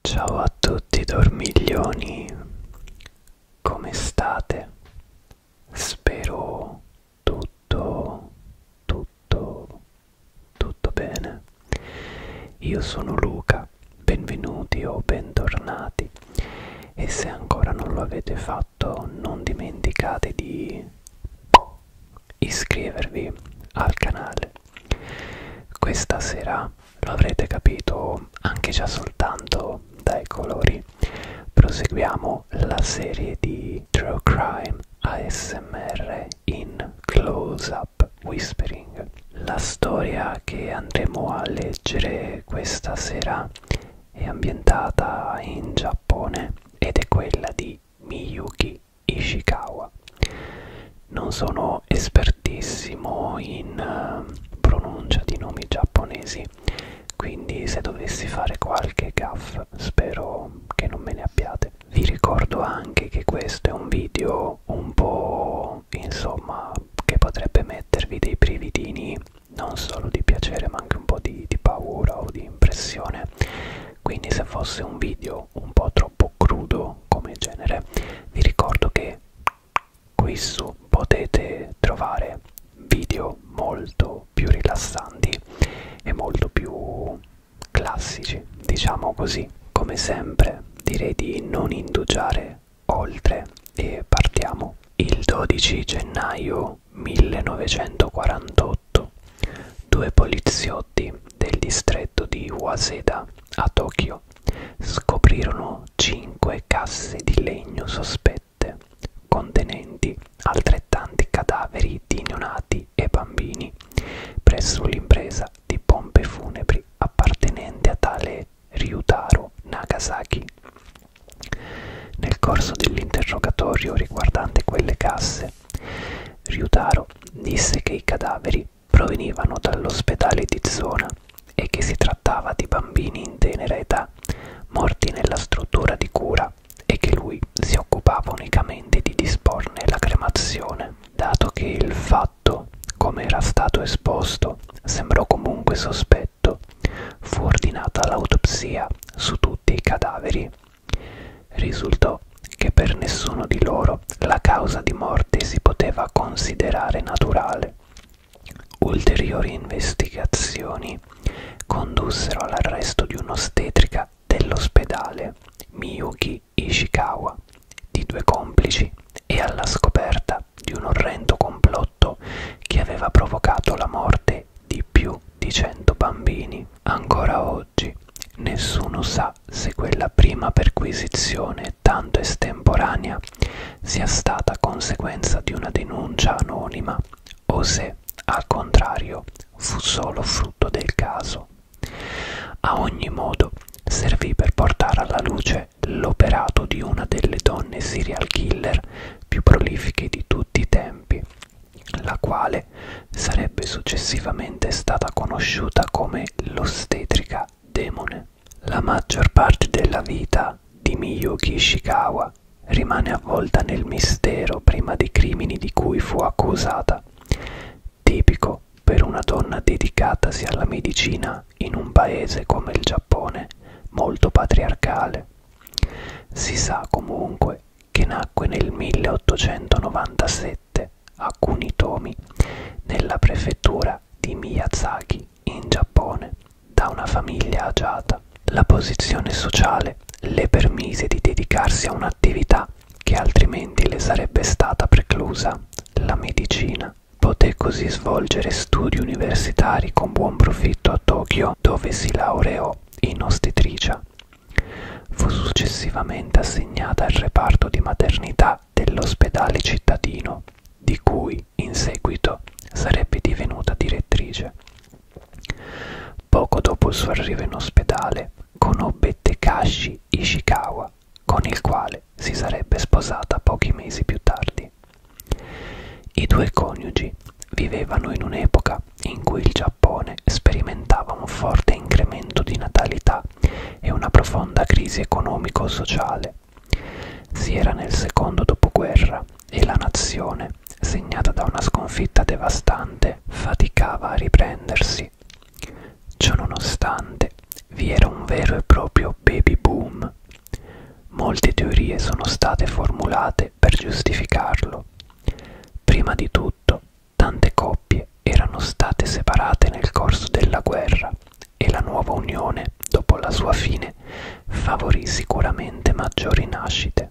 Ciao a tutti dormiglioni, come state? Spero tutto, tutto, tutto bene. Io sono Luca, benvenuti o bentornati e se ancora non lo avete fatto non dimenticate di iscrivervi al canale questa sera lo avrete capito anche già soltanto dai colori. Proseguiamo la serie di True Crime ASMR in Close Up Whispering. La storia che andremo a leggere questa sera è ambientata in Giappone ed è quella di Miyuki Ishikawa. Non sono esperto espertissimo in eh, pronuncia di nomi giapponesi quindi se dovessi fare qualche gaff spero che non me ne abbiate vi ricordo anche che questo è un video un po' insomma che potrebbe mettervi dei brividini non solo di piacere ma anche un po' di, di paura o di impressione quindi se fosse un video un po' troppo troppo crudo come genere vi ricordo che qui su potete trovare video molto più rilassanti e molto più classici diciamo così come sempre direi di non indugiare oltre e partiamo il 12 gennaio 1948 due poliziotti poliziotti del distretto di Waseda a Tokyo scoprirono cinque casse di legno sospette contenenti altrettanti cadaveri di neonati e bambini presso l'impresa di pompe funebri appartenente a tale Ryutaro Nagasaki. Nel corso dell'interrogatorio riguardante quelle casse, Ryutaro disse che i cadaveri provenivano dall'ospedale di zona e che si trattava di bambini in tenera età morti nella struttura di cura e che lui si occupava unicamente di disporne la cremazione. Dato che il fatto, come era stato esposto, sembrò comunque sospetto, fu ordinata l'autopsia su tutti i cadaveri. Risultò che per nessuno di loro però la causa di morte si poteva considerare naturale. Ulteriori investigazioni condussero all'arresto di un'ostetrica dell'ospedale Miyuki Ishikawa, di due complici, e alla scoperta di un orrendo complotto che aveva provocato la morte di più di 100 bambini. Ancora oggi nessuno sa se quella prima perquisizione tanto estemporanea sia stata conseguenza di una denuncia anonima o se, al contrario, fu solo frutto del caso. A ogni modo, servì per portare alla luce l'operato di una delle donne serial killer più prolifiche di tutti i tempi, la quale sarebbe successivamente stata conosciuta come l'ostetrica da demone. La maggior parte della vita di Miyuki Ishikawa rimane avvolta nel mistero prima dei crimini di cui fu accusata, tipico per una donna dedicatasi alla medicina in un paese come il Giappone, molto patriarcale. Si sa comunque che nacque nel 1897 alcuni tomi nella prefettura di Miyazaki in Giappone da una famiglia agiata. La posizione sociale le permise di dedicarsi a un'attività che altrimenti le sarebbe stata preclusa, la medicina. Poté così svolgere studi universitari con buon profitto a Tokyo, dove si laureò in ostetricia. Fu successivamente assegnata al reparto di maternità proprietà dell'ospedale cittadino, di cui in seguito sarebbe divenuta direttrice. Poco dopo il suo arrivo in ospedale, conobbe Tekashi Ishikawa, con il quale si sarebbe sposata pochi mesi più tardi. I due coniugi vivevano in un'epoca in cui il Giappone sperimentava un forte incremento di natalità e una profonda crisi economico-sociale. Si era nel secondo dopoguerra e la nazione, segnata da una sconfitta devastante, faticava a riprendersi. Ciononostante, vi era un vero e proprio baby boom. Molte teorie sono state formulate per giustificarlo. Prima di tutto, tante coppie erano state separate nel corso della guerra e la nuova unione, dopo la sua fine, favorì sicuramente maggiori nascite.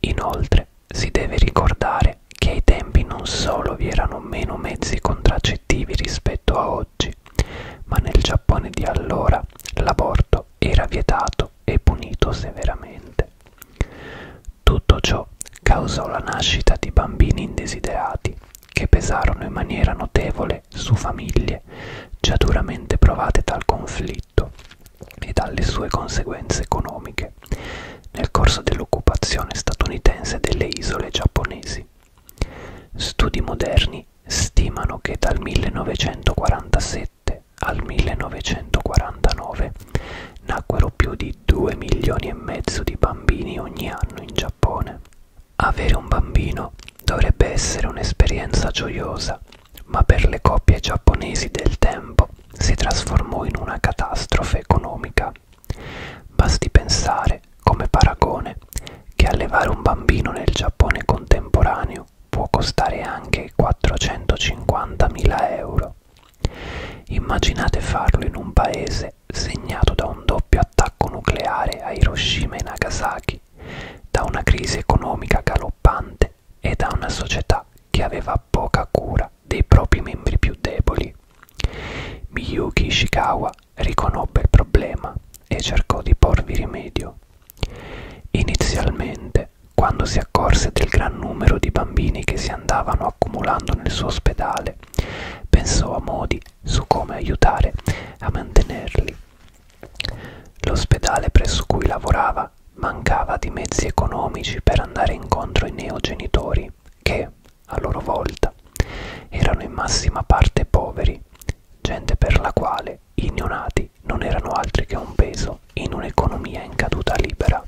Inoltre si deve ricordare che ai tempi non solo vi erano meno mezzi contraccettivi rispetto a oggi, ma nel Giappone di allora l'aborto era vietato e punito severamente. Tutto ciò causò la nascita di bambini indesiderati che pesarono in maniera notevole su famiglie già duramente provate dal conflitto e dalle sue conseguenze economiche nel corso dell'occupazione statunitense delle isole giapponesi. Studi moderni stimano che dal 1947 al 1949 nacquero più di 2 milioni e mezzo di bambini ogni anno in Giappone avere un bambino dovrebbe essere un'esperienza gioiosa, ma per le coppie giapponesi del tempo si trasformò in una catastrofe economica. Basti pensare, come paragone, che allevare un bambino nel Giappone contemporaneo può costare anche 450.000 euro. Immaginate farlo in un paese mese segnato da un doppio attacco nucleare a Hiroshima e Nagasaki, da una crisi economica galoppante e da una società che aveva poca cura dei propri membri più deboli. Miyuki Ishikawa riconobbe il problema e cercò di porvi rimedio. Inizialmente, quando si accorse del gran numero di bambini che si andavano accumulando nel suo ospedale, pensò a modi su come aiutare a mantenerli. L'ospedale presso cui lavorava mancava di mezzi economici per andare incontro ai neogenitori, che, a loro volta, erano in massima parte poveri, gente per la quale i neonati non erano altri che un peso in un'economia in caduta libera.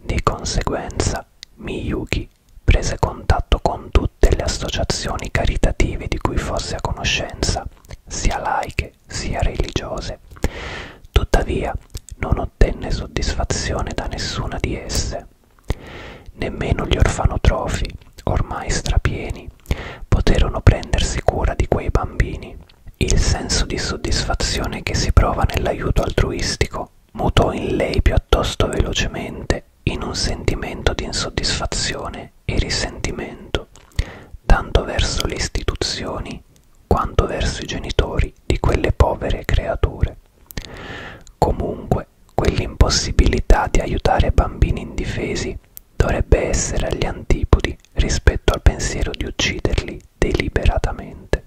Di conseguenza, Miyuki prese contatto con tutte le associazioni caritative di cui fosse a conoscenza, sia laiche sia religiose. Tuttavia non ottenne soddisfazione da nessuna di esse. Nemmeno gli orfanotrofi, ormai strapieni, poterono prendersi cura di quei bambini. Il senso di soddisfazione che si prova nell'aiuto altruistico mutò in lei piuttosto velocemente in un sentimento di insoddisfazione e risentimento, tanto verso le istituzioni quanto verso i genitori di quelle povere creature. Comunque, quell'impossibilità di aiutare bambini indifesi dovrebbe essere agli antipodi rispetto al pensiero di ucciderli deliberatamente.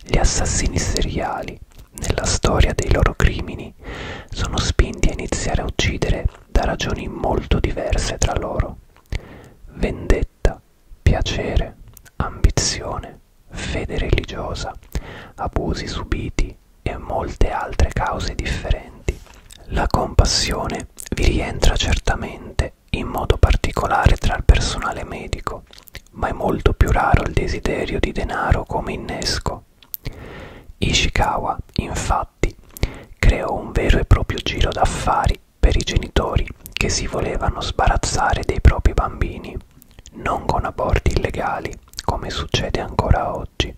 Gli assassini seriali, nella storia dei loro crimini, sono spinti a iniziare a uccidere da ragioni molto diverse tra loro. Vendetta, piacere, ambizione, fede religiosa, abusi subiti e molte altre cause differenti. La compassione vi rientra certamente in modo particolare tra il personale medico, ma è molto più raro il desiderio di denaro come innesco. Ishikawa, infatti, creò un vero e proprio giro d'affari per i genitori che si volevano sbarazzare dei propri bambini, non con aborti illegali, come succede ancora oggi,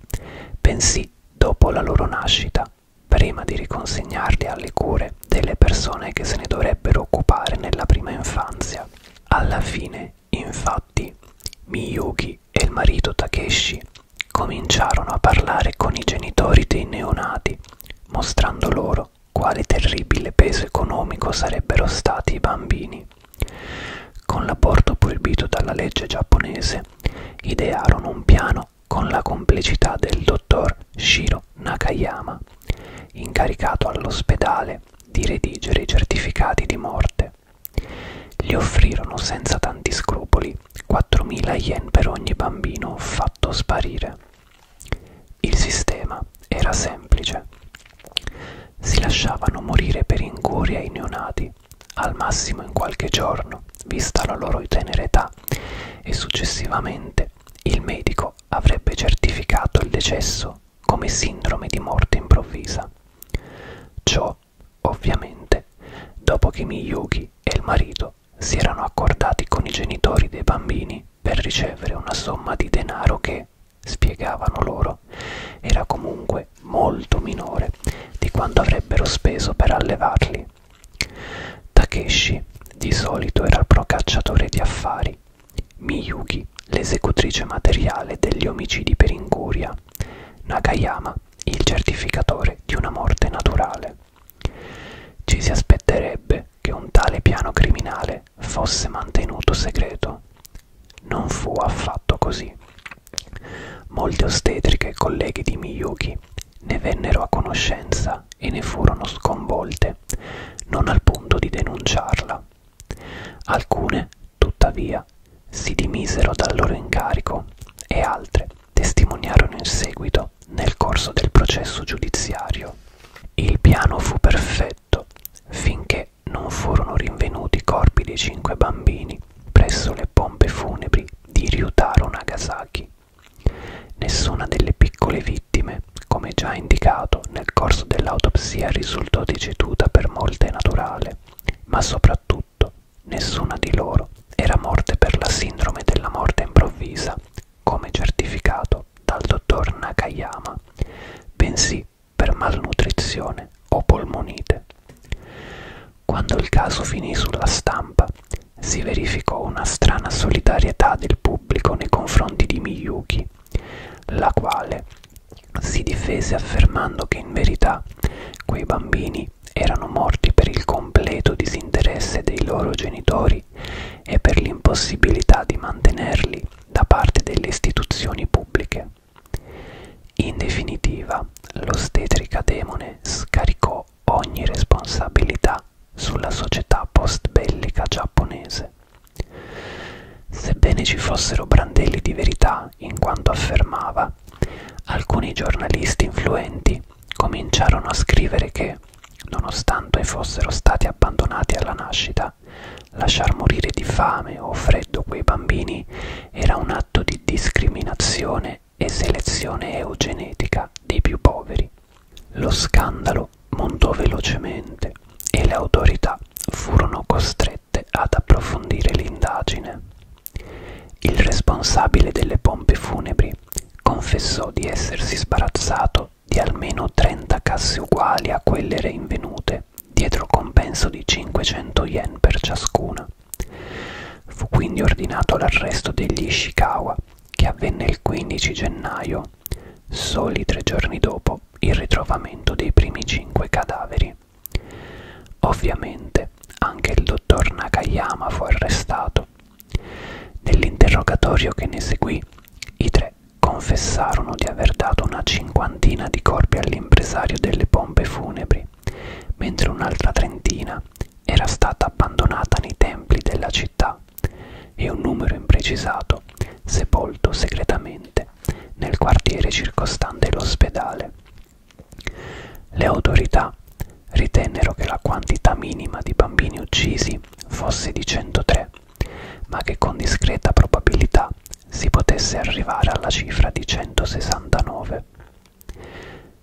bensì dopo la loro nascita, prima di riconsegnarli alle cure delle persone che se ne dovrebbero occupare nella prima infanzia. Alla fine Infatti, Miyuki e il marito Takeshi cominciarono a parlare con i genitori dei neonati, mostrando loro quale terribile peso economico sarebbero stati i bambini. Con l'aborto proibito dalla legge giapponese, idearono un piano con la complicità del dottor Shiro Nakayama, incaricato all'ospedale di redigere i certificati di morte. Gli offrirono senza tanti scrupoli 4.000 yen per ogni bambino fatto sparire. Il sistema era semplice. Si lasciavano morire per incuria i neonati, al massimo in qualche giorno, vista la loro tenera età, e successivamente il medico avrebbe certificato il decesso come sindrome di morte improvvisa. Ciò, ovviamente, dopo che Miyuki e il marito si erano accordati con i genitori dei bambini per ricevere una somma di denaro che, spiegavano loro, era comunque molto minore di quanto avrebbero speso per allevarli. Takeshi di solito era il procacciatore di affari Miyuki, l'esecutrice materiale degli omicidi per incuria, Nakayama, il certificatore di una morte naturale. Ci si aspetterebbe che un tale piano criminale fosse mantenuto segreto. Non fu affatto così. Molte ostetriche e colleghi di Miyuki ne vennero a conoscenza e ne furono sconvolte, non al punto di denunciarla, Alcune, tuttavia, si dimisero dal loro incarico e altre testimoniarono in seguito nel corso del processo giudiziario. Il piano fu perfetto finché non furono rinvenuti i corpi dei cinque bambini presso le pompe funebri di Ryutaro Nagasaki. Nessuna delle piccole vittime come già indicato nel corso dell'autopsia risultò deceduta per morte naturale, ma soprattutto nessuna di loro era morte per la sindrome della morte improvvisa, come certificato dal dottor Nakayama, bensì per malnutrizione o polmonite. Quando il caso finì sulla stampa, si verificò una strana solidarietà del pubblico nei confronti di Miyuki, la quale si difese affermando che in verità quei bambini erano morti per il completo disinteresse dei loro genitori e per l'impossibilità di mantenerli da parte delle istituzioni pubbliche. In definitiva, l'ostetrica demone scaricò ogni responsabilità sulla società post-bellica giapponese. Sebbene ci fossero brandelli di verità in quanto affermava, alcuni giornalisti influenti cominciarono a scrivere che, nonostante fossero stati abbandonati alla nascita, lasciar morire di fame o freddo quei bambini era un atto di discriminazione e selezione eugenetica dei più poveri. Lo scandalo montò velocemente e le autorità furono costrette ad approfondire l'indagine. Il responsabile delle pompe funebri confessò di essersi sbarazzato di almeno 30 casse uguali a quelle reinvenute, dietro compenso di 500 yen per ciascuna. Fu quindi ordinato l'arresto degli Ishikawa, che avvenne il 15 gennaio Milano, soli tre giorni dopo il ritrovamento dei primi cinque cadaveri. Ovviamente anche il dottor Nakayama fu arrestato. Nell'interrogatorio che ne seguì, i tre confessarono di aver dato una cinquantina di corpi all'impresario delle pompe funebri, mentre un'altra trentina era stata abbandonata nei templi della città e un numero imprecisato sepolto segretamente Firenze, nel quartiere circostante l'ospedale. Le autorità ritennero che la quantità minima di bambini uccisi fosse di 103, ma che con discreta probabilità si potesse arrivare alla cifra di 169.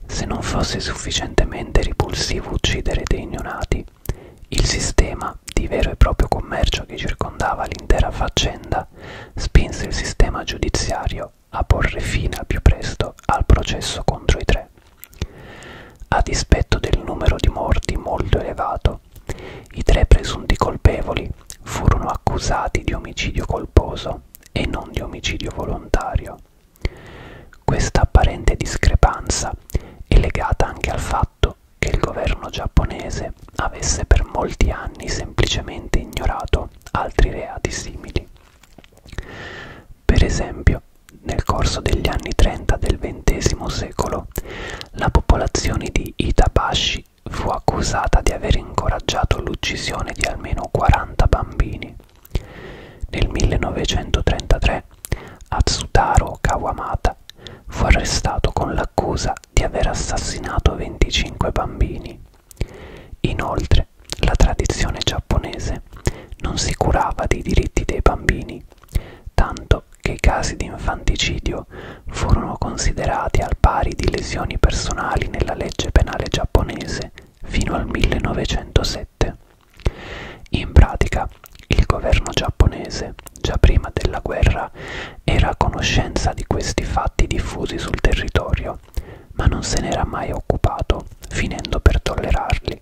Se non fosse sufficientemente ripulsivo uccidere dei neonati, il sistema ma di vero e proprio commercio che circondava l'intera faccenda, spinse il sistema giudiziario a porre fine al più presto al processo contro i tre. A dispetto del numero di morti molto elevato, i tre presunti colpevoli furono accusati di omicidio colposo e non di omicidio volontario. Questa apparente discrepanza è legata anche al fatto fatto che il governo giapponese avesse per molti anni semplicemente ignorato altri reati simili. Per esempio, nel corso degli anni 30 del XX secolo, la popolazione di Itabashi fu accusata di aver incoraggiato l'uccisione di almeno 40 bambini. Nel 1933 Atsutaro Kawamata fu arrestato con l'accusa di aver assassinato 25 bambini. Inoltre, la tradizione giapponese non si curava dei diritti dei bambini, tanto che i casi di infanticidio furono considerati al pari di lesioni personali nella legge penale giapponese fino al 1907. In pratica, il governo giapponese già prima della guerra, era a conoscenza di questi fatti diffusi sul territorio, ma non se n'era mai occupato, finendo per tollerarli.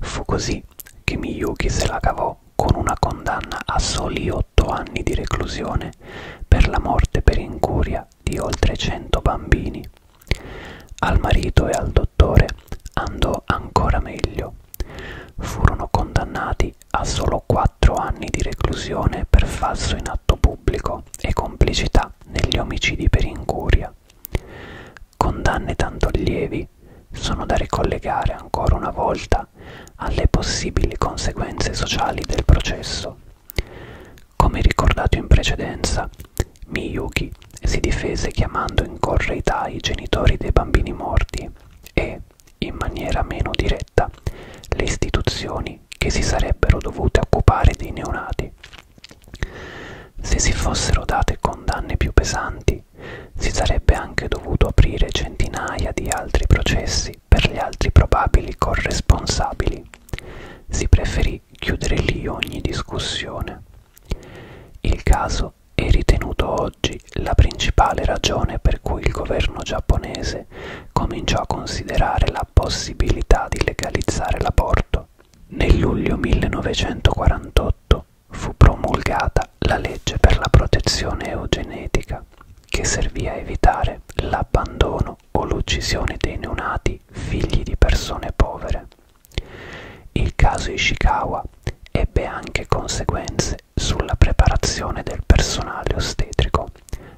Fu così che Miyuki se la cavò con una condanna a soli otto anni di reclusione per la morte per incuria di oltre cento bambini. Al marito e al dottore andò ancora meglio. Furono condannati Rai a solo 4 anni di reclusione per falso in atto pubblico e complicità negli omicidi per incuria. Condanne tanto lievi sono da ricollegare ancora una volta alle possibili conseguenze sociali del processo. Come ricordato in precedenza, Miyuki si difese chiamando in correità i genitori dei bambini morti e, in maniera meno diretta le istituzioni che si sarebbero dovute occupare dei neonati. Se si fossero date condanne più pesanti, si sarebbe anche dovuto aprire centinaia di altri processi per gli altri probabili corresponsabili. Si preferì chiudere lì ogni discussione. Il caso questo è ritenuto oggi la principale ragione per cui il governo giapponese cominciò a considerare la possibilità di legalizzare l'aborto. Nel luglio 1948 fu promulgata la legge per la protezione eugenetica, che servì a evitare l'abbandono o l'uccisione dei neonati figli di persone povere. Il caso Ishikawa ebbe anche conseguenze sulla preparazione del personale ostetrico,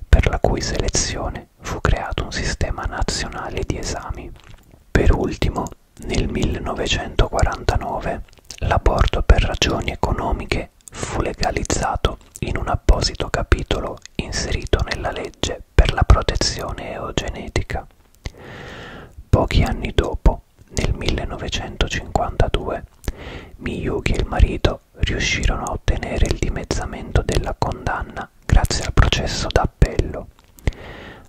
per la cui selezione fu creato un sistema nazionale di esami. Per ultimo, nel 1949 l'aborto per ragioni economiche fu legalizzato in un apposito capitolo inserito nella legge per la protezione eugenetica. Pochi anni dopo, nel 1952 Miyuki e il marito riuscirono a ottenere il dimezzamento della condanna grazie al processo d'appello.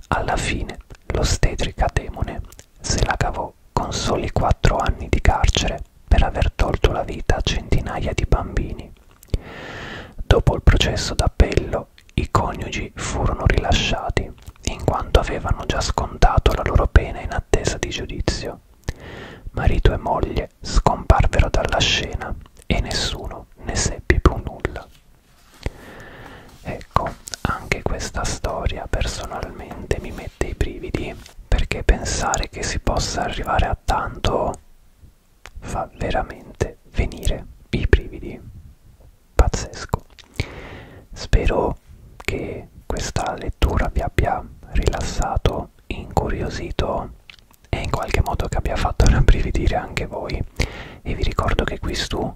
Alla fine l'ostetrica demone se la cavò con soli quattro anni di carcere per aver tolto la vita a centinaia di bambini. Dopo il processo d'appello i coniugi furono rilasciati in quanto avevano già scontato la loro pena in attesa di giudizio. Marito e moglie scomparvero dalla scena e nessuno ne seppe più nulla. Ecco, anche questa storia personalmente mi mette i brividi, perché pensare che si possa arrivare a tanto fa veramente venire i brividi. Pazzesco. Spero spero che questa lettura vi abbia rilassato, incuriosito e in qualche modo che abbia fatto rabbrividire anche voi. E vi ricordo che qui su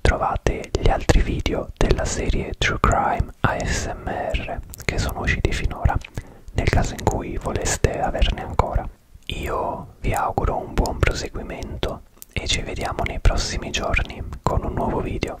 trovate gli altri video della serie True Crime ASMR che sono usciti finora, nel caso in cui voleste averne ancora. Io vi auguro un buon proseguimento e ci vediamo nei prossimi giorni con un nuovo video.